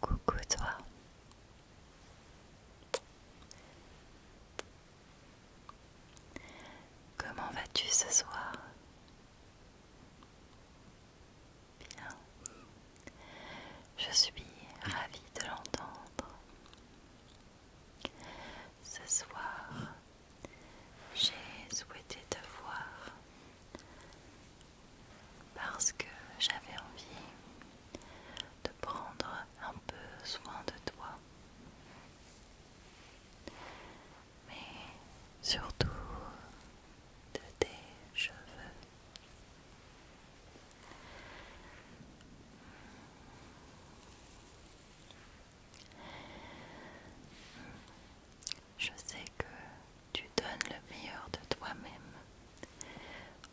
Coucou toi. Comment vas-tu ce soir Bien. Je suis ravie de l'entendre. Ce soir, j'ai souhaité te voir parce que j'avais envie de prendre un peu soin de toi. Mais surtout de tes cheveux je sais que tu donnes le meilleur de toi-même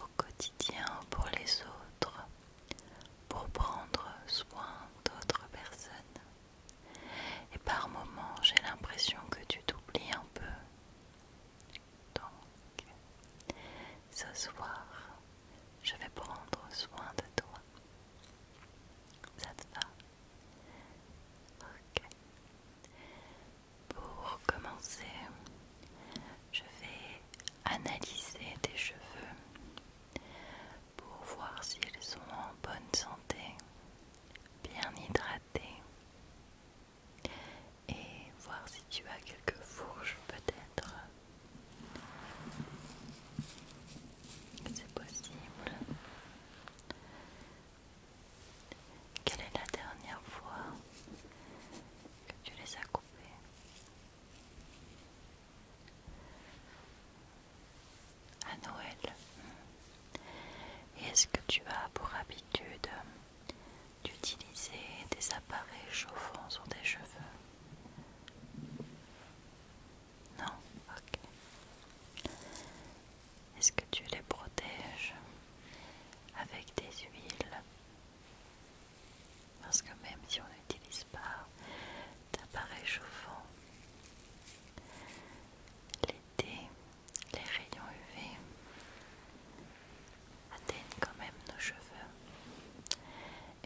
au quotidien pour les autres, pour prendre soin d'autres personnes. Et par moments, j'ai l'impression que tu t'oublies un peu, donc, ce soir, je vais prendre soin de toi. Ça te va Ok. Pour commencer, je vais analyser tes cheveux pour voir s'ils sont en bonne santé, bien hydratés et voir si tu as quelques fourches peut-être. C'est possible. Quelle est la dernière fois que tu les as coupées à Noël. Et Est-ce que tu as pour habitude d'utiliser des appareils chauffants sur tes cheveux. Non, ok. Est-ce que tu les protèges avec des huiles Parce que même si on n'utilise pas d'appareils chauffants, l'été les rayons UV atteignent quand même nos cheveux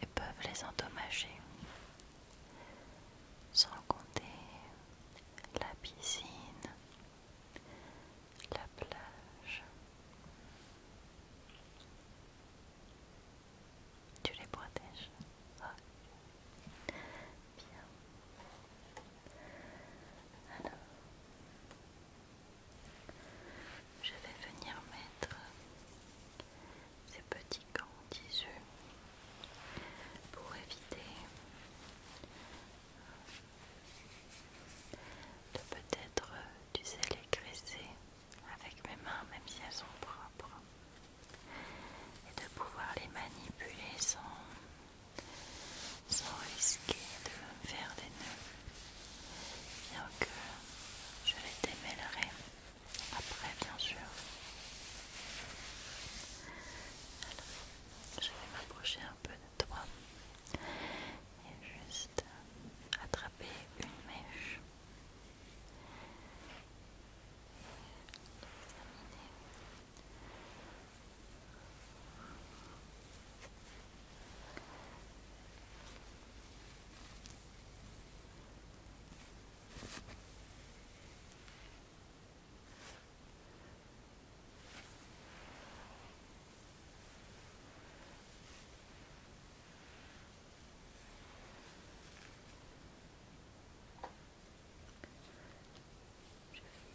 et peuvent les endommager. Sans compter la piscine, la plage. Tu les protèges ah, Bien. Alors, je vais venir mettre ces petits gants tissus pour éviter de peut-être, les graisser avec mes mains, même si elles sont propres, et de pouvoir les manipuler sans, sans risquer de faire des nœuds bien que je les démêlerai après bien sûr. Alors, je vais m'approcher un peu de toi et juste attraper une mèche.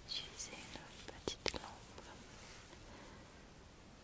Je vais utiliser une petite lampe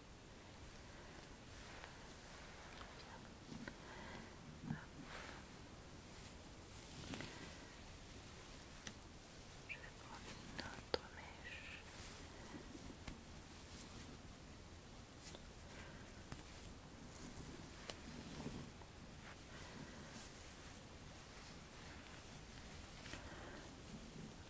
Je vais prendre une autre mèche.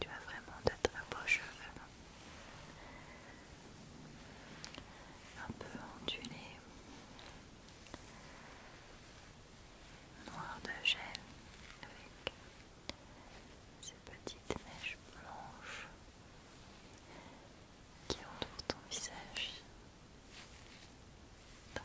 Tu as vraiment de très beaux cheveux, un peu ondulés noir de gel avec ces petites mèches blanches qui entourent ton visage. Très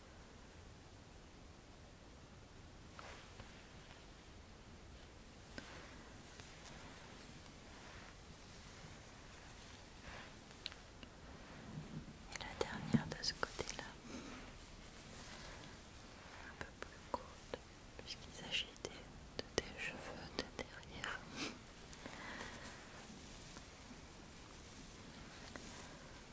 Et la dernière de ce côté-là, un peu plus courte, puisqu'il s'agit de tes cheveux de derrière.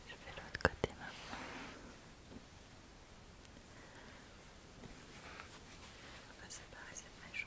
Je vais l'autre côté maintenant ça paraissait méchant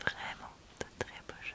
Vraiment de très beaux cheveux.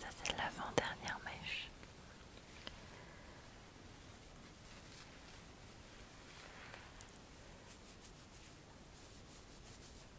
Ça c'est l'avant-dernière mèche.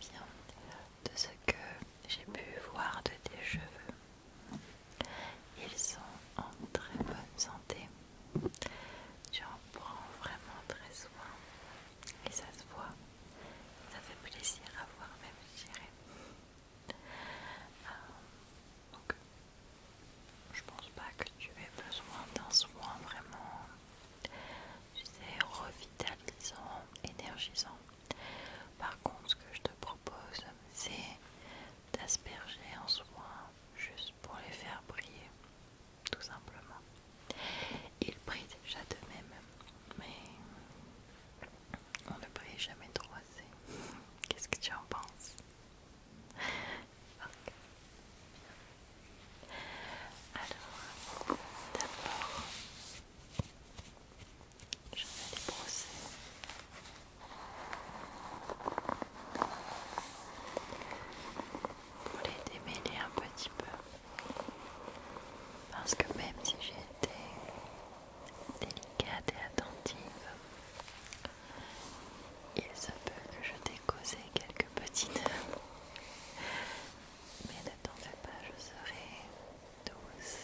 Bien, de ce que j'ai pu voir de tes cheveux, ils sont en très bonne santé. Tu en prends vraiment très soin et ça se voit. Ça fait plaisir à voir même, je euh, donc, je pense pas que tu aies besoin d'un soin vraiment c'est revitalisant, énergisant. Par contre, ce que je te propose, c'est d'asperger en soin juste pour les faire briller, tout simplement. Ils brillent déjà de même, mais on ne brille jamais trop assez. Qu'est-ce que tu en penses alors, d'abord, je vais les brosser. Pour les démêler un petit peu. Parce que même si j'ai été délicate et attentive, il se peut que je t'ai causé quelques petites mais ne fais pas, je serai douce.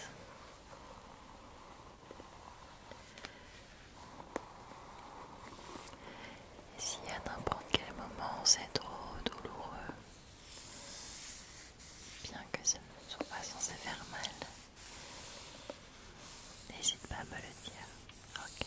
Et si à n'importe quel moment c'est trop douloureux, bien que ce ne soit pas censé faire mal, n'hésite pas à me le dire, ok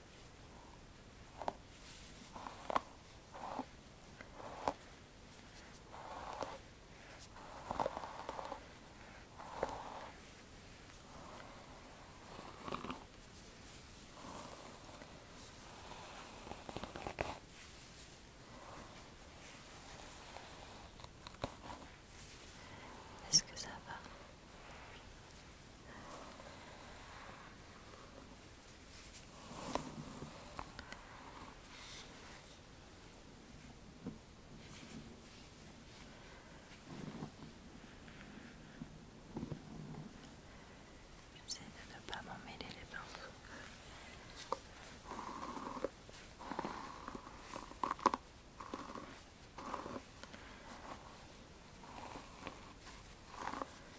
Est-ce que ça va J'essaie de ne pas m'emmêler les pinceaux.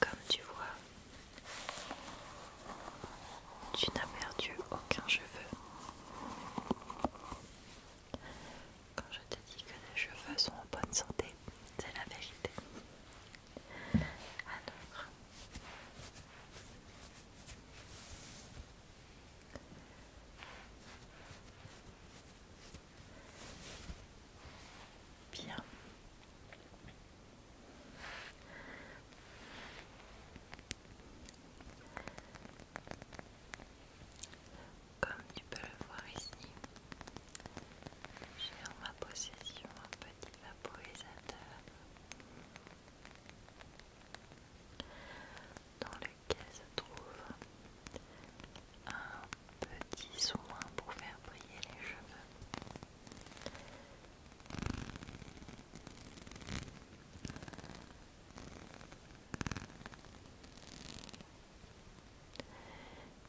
Comme tu vois, tu n'as perdu aucun cheveu. Quand je te dis que les cheveux sont en bonne santé, c'est la vérité. Alors, bien. Comme tu peux le voir ici, j'ai en ma possession un petit vaporisateur dans lequel se trouve un petit soin pour faire briller les cheveux.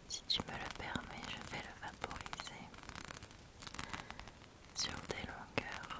Si tu me le permets, je vais le vaporiser sur des longueurs.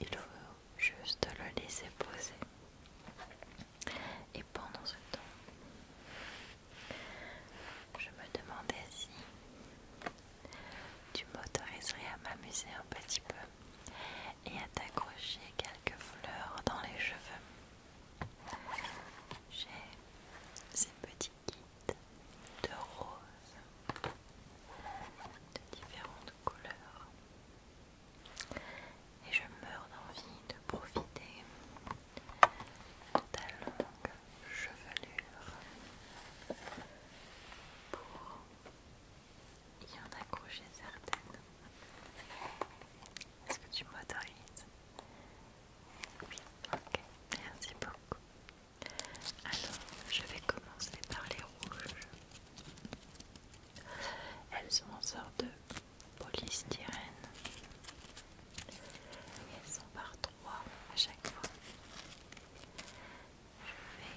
Il faut juste le laisser poser. Et pendant ce temps, je me demandais si tu m'autoriserais à m'amuser un petit peu et à t'accrocher quelques fleurs dans les cheveux. J'ai ces petits kits de roses de différentes couleurs et je meurs d'envie de profiter de ta longue chevelure pour il y en a couché certaines. Est-ce que tu m'autorises Oui, ok, merci beaucoup. Alors, je vais commencer par les rouges. Elles sont en sorte de polystyrène. Elles sont par trois à chaque fois. Je vais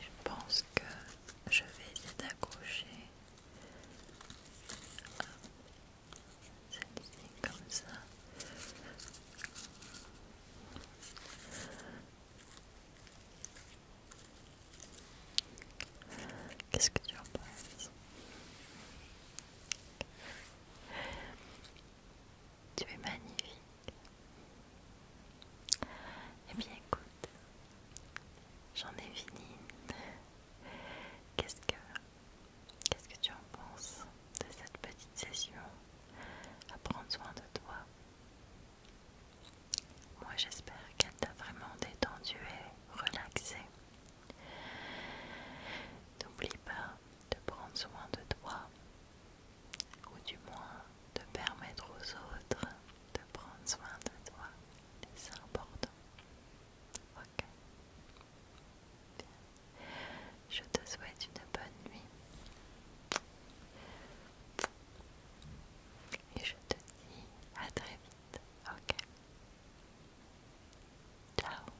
je pense que je vais essayer d'accrocher comme ça. Qu'est-ce que tu en penses Tu es magnifique. Et eh bien écoute, j'en ai fini. Qu'est-ce que qu'est-ce que tu en penses de cette petite session à prendre soin de toi Moi j'espère qu'elle t'a vraiment détendu et relaxé. N'oublie pas de prendre soin de toi ou du moins de permettre aux autres de prendre soin de toi, c'est important. Ok. Bien. Je te souhaite une bonne nuit. Et je te dis à très vite. Ok. Ciao.